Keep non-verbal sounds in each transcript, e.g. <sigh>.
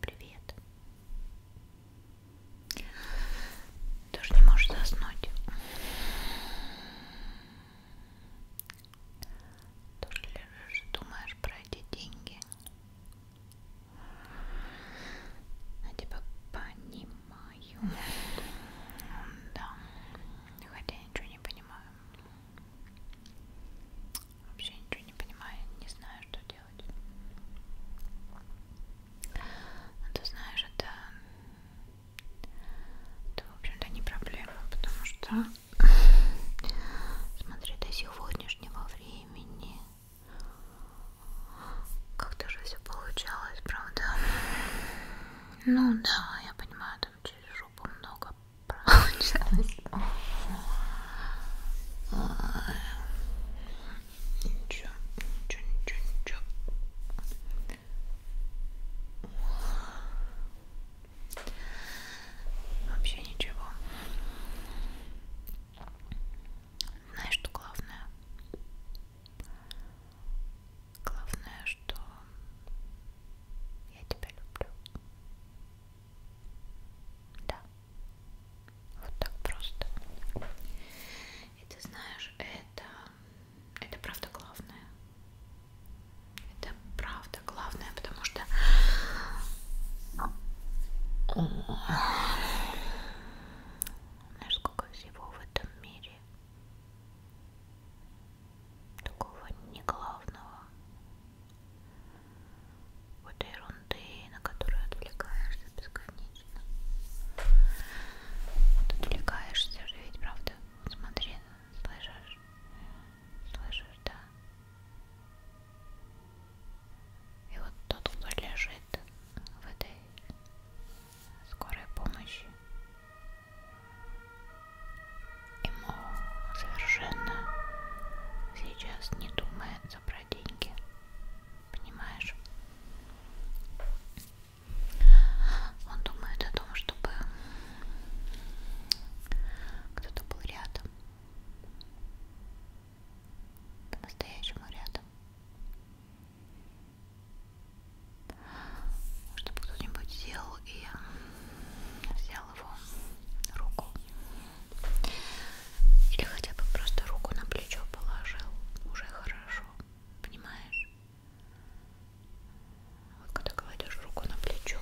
Привет. Тоже не можешь заснуть. Тоже лежишь, думаешь про эти деньги. Я тебя понимаю. Да. Хотя я ничего не понимаю. Вообще ничего не понимаю, не знаю, что делать. Но ну, ты знаешь, это, это в общем-то, не проблема, потому что, <sniffs> смотри, до сегодняшнего времени как-то же все получалось, правда? Ну да, я понимаю, там через жопу много Получалось. Ничего, ничего, ничего, ничего. Вообще ничего. Знаешь, что главное? Главное, что я тебя люблю. Да. Вот так просто. И ты знаешь, это... Это правда главное. Это правда главное, потому что... Знаешь, сколько всего в этом мире такого не главного какой-то ерунды, на которую отвлекаешься бесконечно. Вот отвлекаешься же ведь, правда? Смотри, слышишь? Слышишь, да? И вот тот, кто лежит в этой скорой помощи, ему совершенно сейчас не думается про деньги. Понимаешь? Он думает о том, чтобы кто-то был рядом. По-настоящему рядом. Чтобы кто-нибудь сел и взял его руку или хотя бы просто руку на плечо положил, уже хорошо, понимаешь? Вот когда кладешь руку на плечо,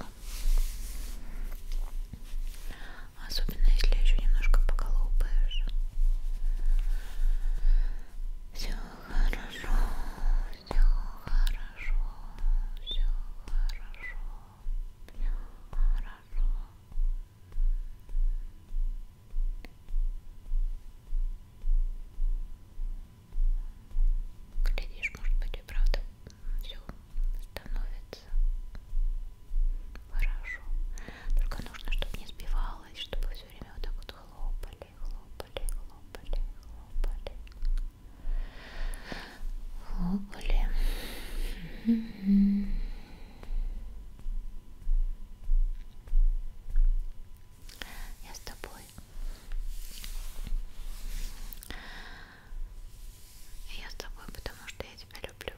особенно если еще немножко поколупаешь. Все хорошо, все хорошо, все хорошо. Все хорошо. Глядишь, может быть, и правда все становится хорошо. Только нужно, чтобы не сбивалось, чтобы все время вот так вот хлопали, хлопали, хлопали, хлопали хлопали. Я с тобой. Я с тобой, потому что я тебя люблю.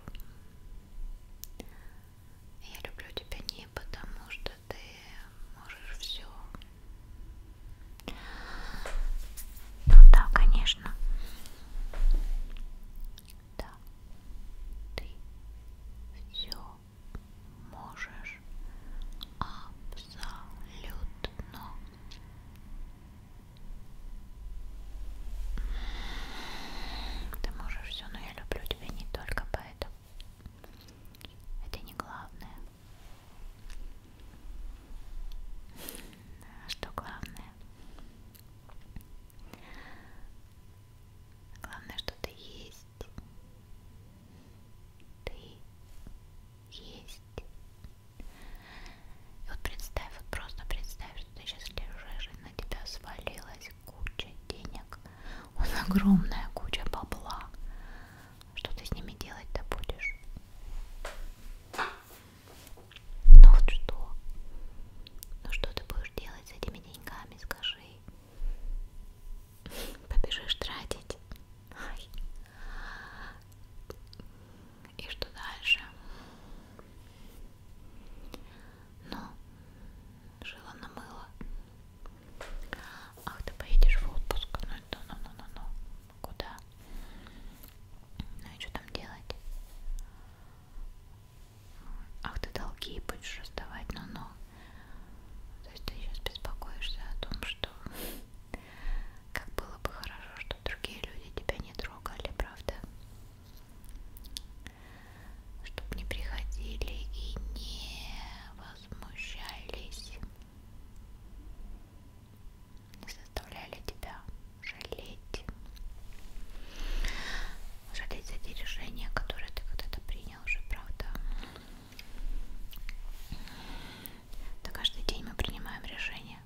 Я люблю тебя не потому, что ты можешь все. Ну да, конечно. Да, ты все можешь абсолютно. Ты можешь все, но я люблю тебя не только поэтому. Это не главное. А что главное? Главное, что ты есть. Ты есть. И вот представь, вот просто представь, что ты сейчас лежишь, и на тебя свалилась куча денег. Вот огромная куча бабла. Что ты с ними делать-то будешь? Ну вот что? Ну что ты будешь делать с этими деньгами, скажи? Побежишь тратить? Ай. И что дальше? Ну, жила на мыло. Ах, ты поедешь в отпуск. Ну, ну, ну, ну, ну. ну куда. Ну и что там делать? Ах ты долги будешь раздавать, ну-ну. То есть ты сейчас беспокоишься о том, что <laughs> как было бы хорошо, что другие люди тебя не трогали, правда? Чтобы не приходили и не возмущались заставляли тебя жалеть. Жалеть за те решения, которые ты когда-то принял уже, правда. Да каждый день мы принимаем решения.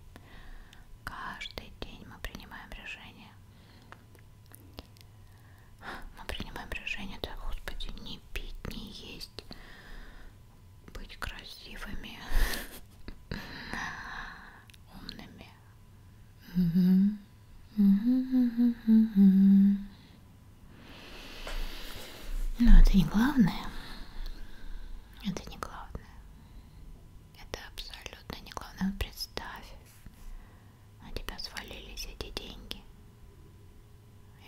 Каждый день мы принимаем решения. Мы принимаем решение, да, Господи, не пить, не есть, быть красивыми, умными. Угу. Ну, угу, угу, угу. Но это не главное. Это не главное. Это абсолютно не главное. Вот представь, на тебя свалились эти деньги.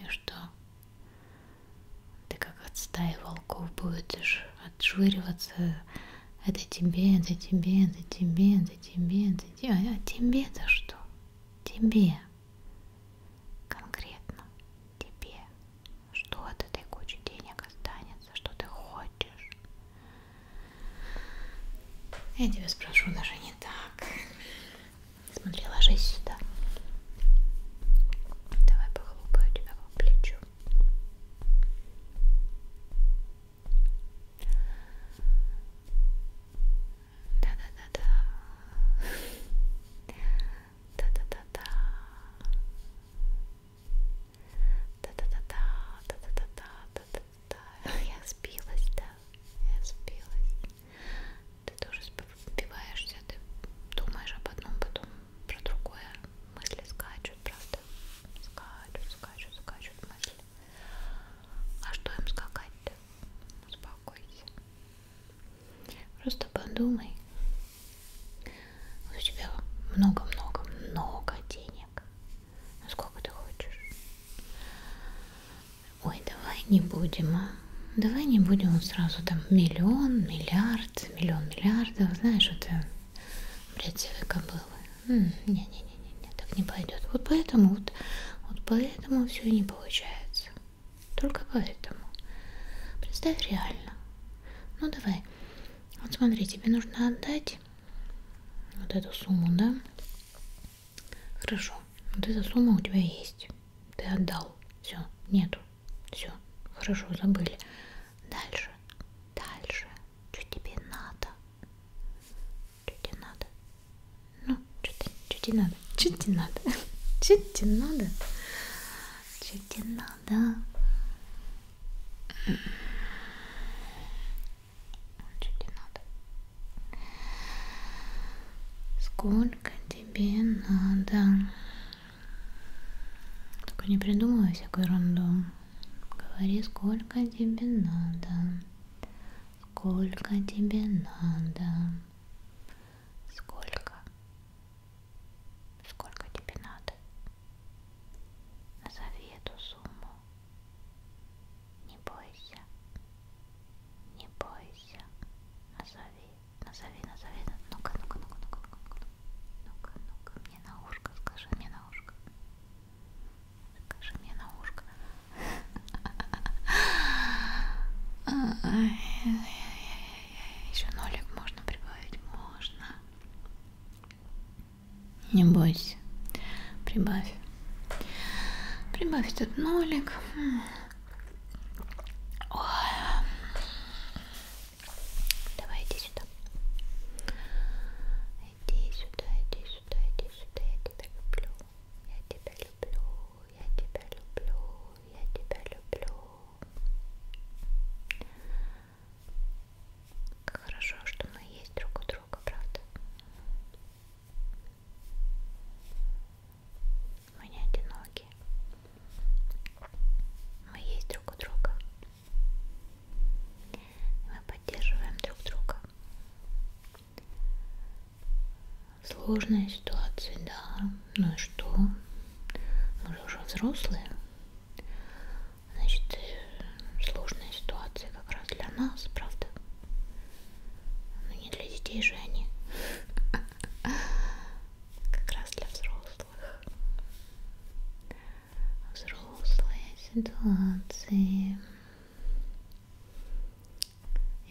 И что? Ты как от стаи волков будешь а? отшвыриваться. Это тебе, это тебе, это тебе, это тебе, это тебе. А, а тебе-то что? Тебе. Конкретно тебе. Что от этой кучи денег останется? Что ты хочешь? Я тебя спрошу даже не так. Смотри, ложись сюда. Давай похлопаю тебя по плечу. Да-да-да-да. Да-да-да-да. Да-да-да-да. Да-да-да-да. Да-да-да-да. Я сбилась, да. Я сбилась. Ты тоже сбиваешься, ты думаешь об одном, потом про другое. Мысли скачут, правда? Скачут, скачут, скачут мысли. А что им скакать-то? Успокойся. Просто подумай. У тебя много-много-много денег. Ну сколько ты хочешь? Ой, давай не будем, а? Давай не будем сразу там миллион, миллиард, миллион миллиардов. Знаешь, это брецевые кобылы. Не-не-не, так не пойдет. Вот поэтому вот, вот поэтому все не получается. Только поэтому. Представь реально. Ну давай. Вот смотри, тебе нужно отдать вот эту сумму, да? Хорошо. Вот эта сумма у тебя есть. Ты отдал. Все, нету. Все. Хорошо, забыли. Дальше, дальше. Что тебе надо? Что тебе надо? Ну, что тебе надо? Что тебе надо? <laughs> Что тебе надо? Что тебе надо? Что тебе надо? Сколько тебе надо? Только не придумывай всякую ерунду. Говори, сколько тебе надо. Сколько тебе надо. Сколько. Сколько тебе надо. Назови эту сумму. Не бойся. Не бойся. Назови. Назови, назови. Ну-ка, ну-ка, ну-ка, ну-ка, ну-ка, ну-ка, ну-ка, мне на ушко, скажи мне на ушко. Скажи мне на ушко. Еще нолик можно прибавить? Можно. Не бойся. Прибавь. Прибавь этот нолик. Ой. Давай иди сюда. Иди сюда, иди сюда, иди сюда. Я тебя люблю. Я тебя люблю. Я тебя люблю. Я тебя люблю. Как хорошо, что мы есть друг у друга, правда? Мы не одиноки. Мы есть друг у друга. Мы поддерживаем друг друга. Сложные ситуации, да. Ну и что? Мы же уже взрослые. Значит, сложные ситуации как раз для нас, правда? Но ну, не для детей же они. <laughs> Как раз для взрослых взрослые ситуации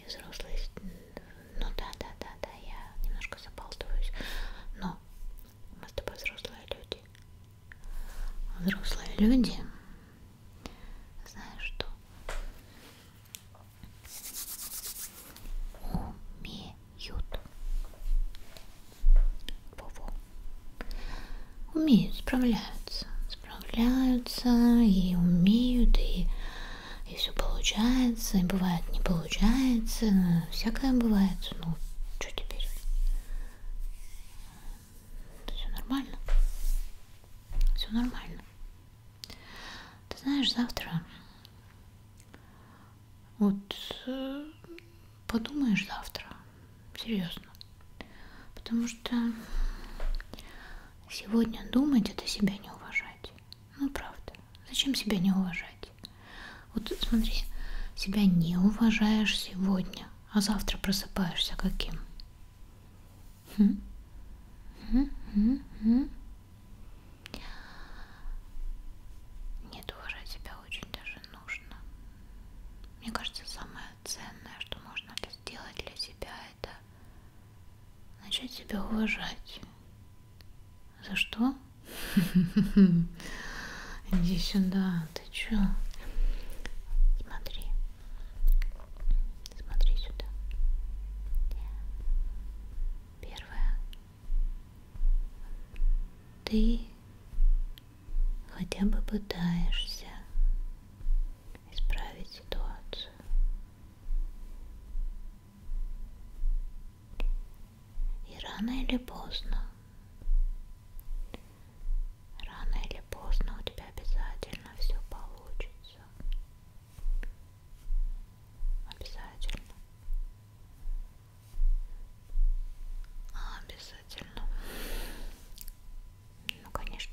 и взрослые ну да да да да я немножко забалтываюсь но мы с тобой взрослые люди взрослые люди знаешь что умеют Ют. Во-во. Умеют, справляются. Справляются и умеют, и, и все получается, и бывает не получается. Всякое бывает. Ну, что теперь? Все нормально. Все нормально. Ты знаешь, завтра вот э, подумаешь завтра. Серьезно. Потому что сегодня думать это себя не уважать. Ну правда. Зачем себя не уважать? Вот смотри, себя не уважаешь сегодня, а завтра просыпаешься каким? Хм? Хм -хм -хм. Нет, уважать себя очень даже нужно. Мне кажется, самое ценное, что можно сделать для себя, это начать себя уважать. За что? <laughs> Иди сюда, ты чё? Смотри. Смотри сюда. Первое. Ты хотя бы пытаешься исправить ситуацию. И рано или поздно, рано или поздно у тебя обязательно все получится. Обязательно. А, обязательно. Ну, конечно.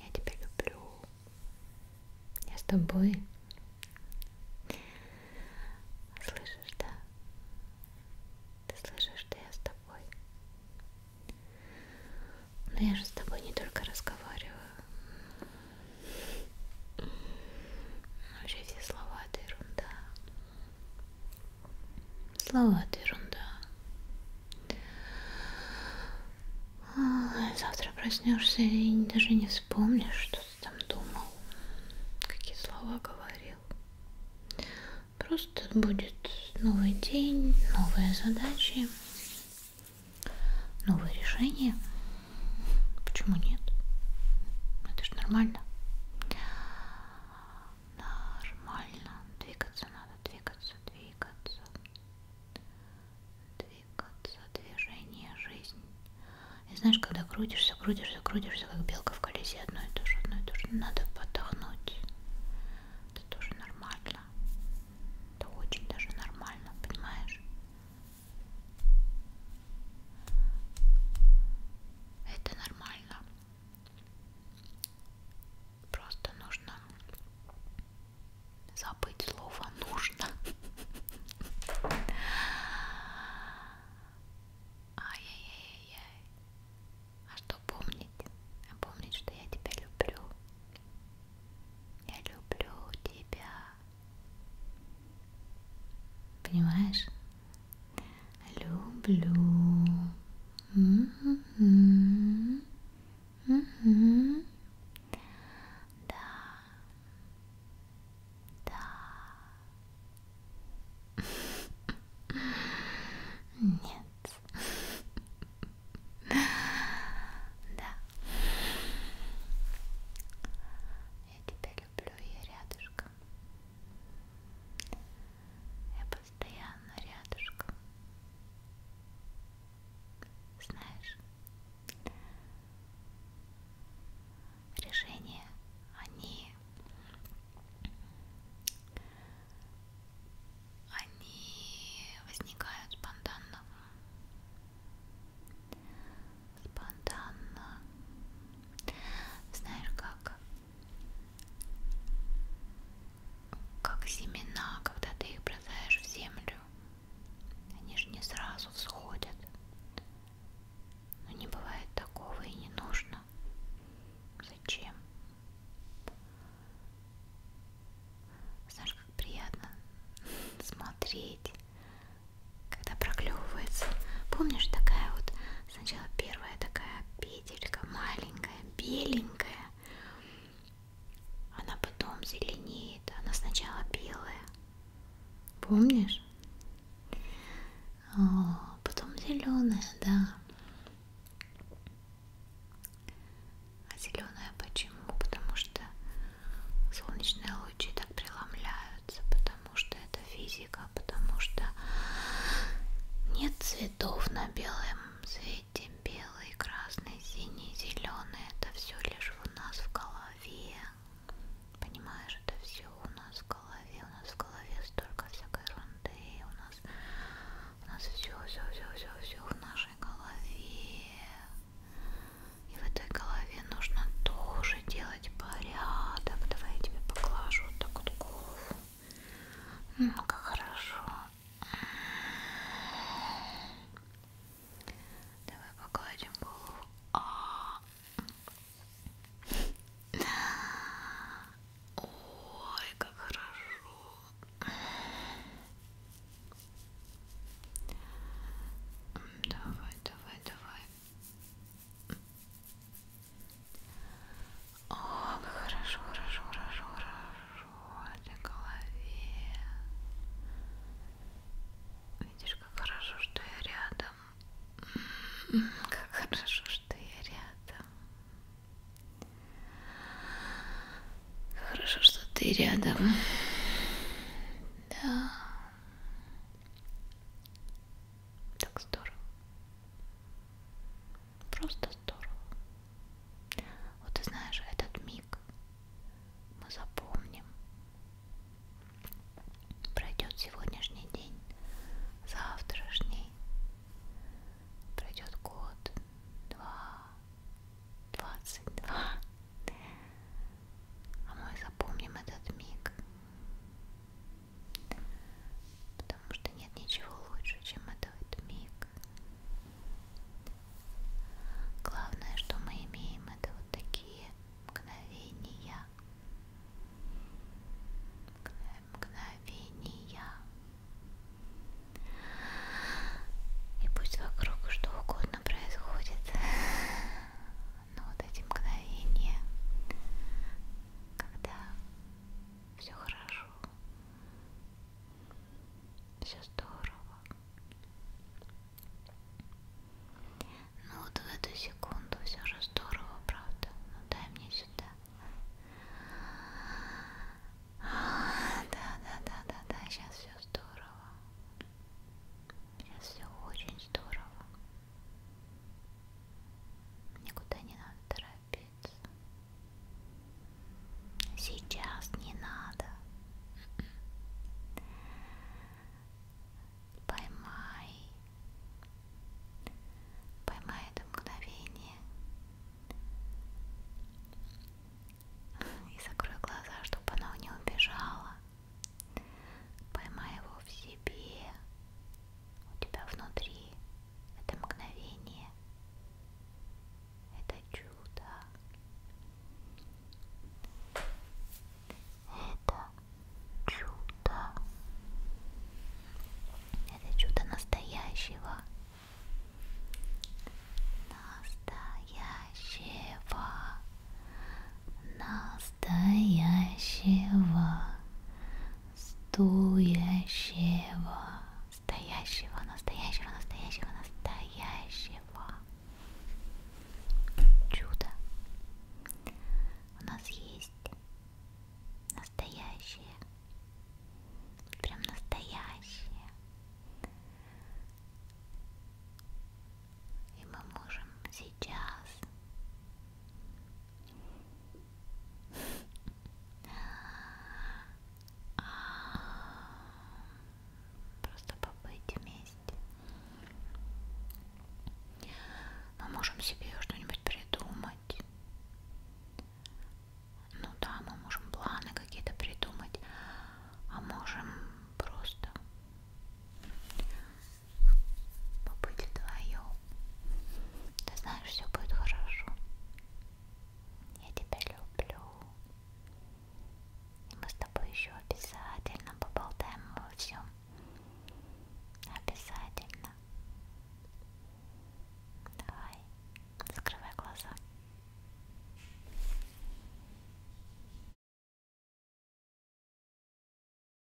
Я тебя люблю. Я с тобой. Слышишь, да? Ты слышишь, что я с тобой? Но ну, я же с тобой не только разговариваю. Вообще все слова это ерунда. Слова это ерунда. А, завтра проснешься и даже не вспомнишь, что ты там думал, какие слова говорил. Просто будет новый день, новые задачи, новые решения. Почему нет? Это ж нормально нормально двигаться надо двигаться двигаться двигаться движение жизнь и знаешь когда крутишься крутишься крутишься как белка в колесе одно и то же одно и то же надо подохнуть это тоже нормально это очень даже нормально понимаешь это нормально. Просто нужно забыть слово нужно. Ай-яй-яй-яй. А что помнить? А помнить, что я тебя люблю. Я люблю тебя. Понимаешь? люблю. М-м-м. М-м-м. Да, да. Нет. Да. Я тебя люблю, я рядышком. Я постоянно рядышком. Знаешь, решения, они, они возникают спонтанно спонтанно. Знаешь, как как семена, когда ты их бросаешь в землю, они же не сразу всходят. Но ну, не бывает такого и не нужно. Зачем? Знаешь, как приятно смотреть когда проклевывается. Помнишь, такая вот сначала первая такая петелька маленькая, беленькая, она потом зеленеет, она сначала белая. Помнишь? О, потом зеленая, да. А зеленая почему? Потому что солнечные лучи так преломляются, потом потому что это физика, потому что нет цветов на белом цвете, белый, красный, синий, зеленый, это все лишь у нас в голове, понимаешь, это все у нас в голове, у нас в голове столько всякой ерунды, у нас, у нас все, все, все, все, все в нашей голове, и в этой голове тебе нужно тоже делать порядок. Давай я тебе поглажу вот так вот голову. Ну, как хорошо. Давай погладим голову. А -а -а. Ой, как хорошо. Давай, давай, давай. О, как хорошо, хорошо, хорошо, хорошо для голове. Видишь, как хорошо, что я рядом. Как хорошо, что я рядом. Как хорошо, что ты рядом. Да. Так здорово. Просто здорово. Вот ты знаешь, этот миг мы запомним. Пройдет сегодняшний день, завтрашний. Пройдет год, два, двадцать два. А мы запомним этот миг. Потому что нет ничего лучше, чем этот миг. Главное, что мы имеем, это вот такие мгновения. Мгновения. И пусть вокруг что угодно происходит, но вот эти мгновения, когда все хорошо, все здорово. Ну вот в эту секунду все же здорово, правда? Ну дай мне сюда. Да-да-да-да-да, сейчас все здорово. Сейчас все очень здорово. Никуда не надо торопиться. Сейчас не надо. Поймай. Поймай это мгновение. И закрой глаза, чтобы оно не убежало. Поймай его в себе, у тебя внутри это мгновение, это чудо. Это чудо. Это чудо настоящего. Настоящего настоящего, стоящего, настоящего, настоящего, настоящего, настоящего чуда. У нас есть настоящее, прям настоящее. И мы можем сейчас Просто побыть вместе. Мы можем себе что-нибудь придумать. Ну да, мы можем планы какие-то придумать, а можем просто побыть вдвоем. Ты знаешь, все будет хорошо. Я тебя люблю. И мы с тобой еще обязательно поболтаем обо всем. Обязательно. Давай, закрывай глаза.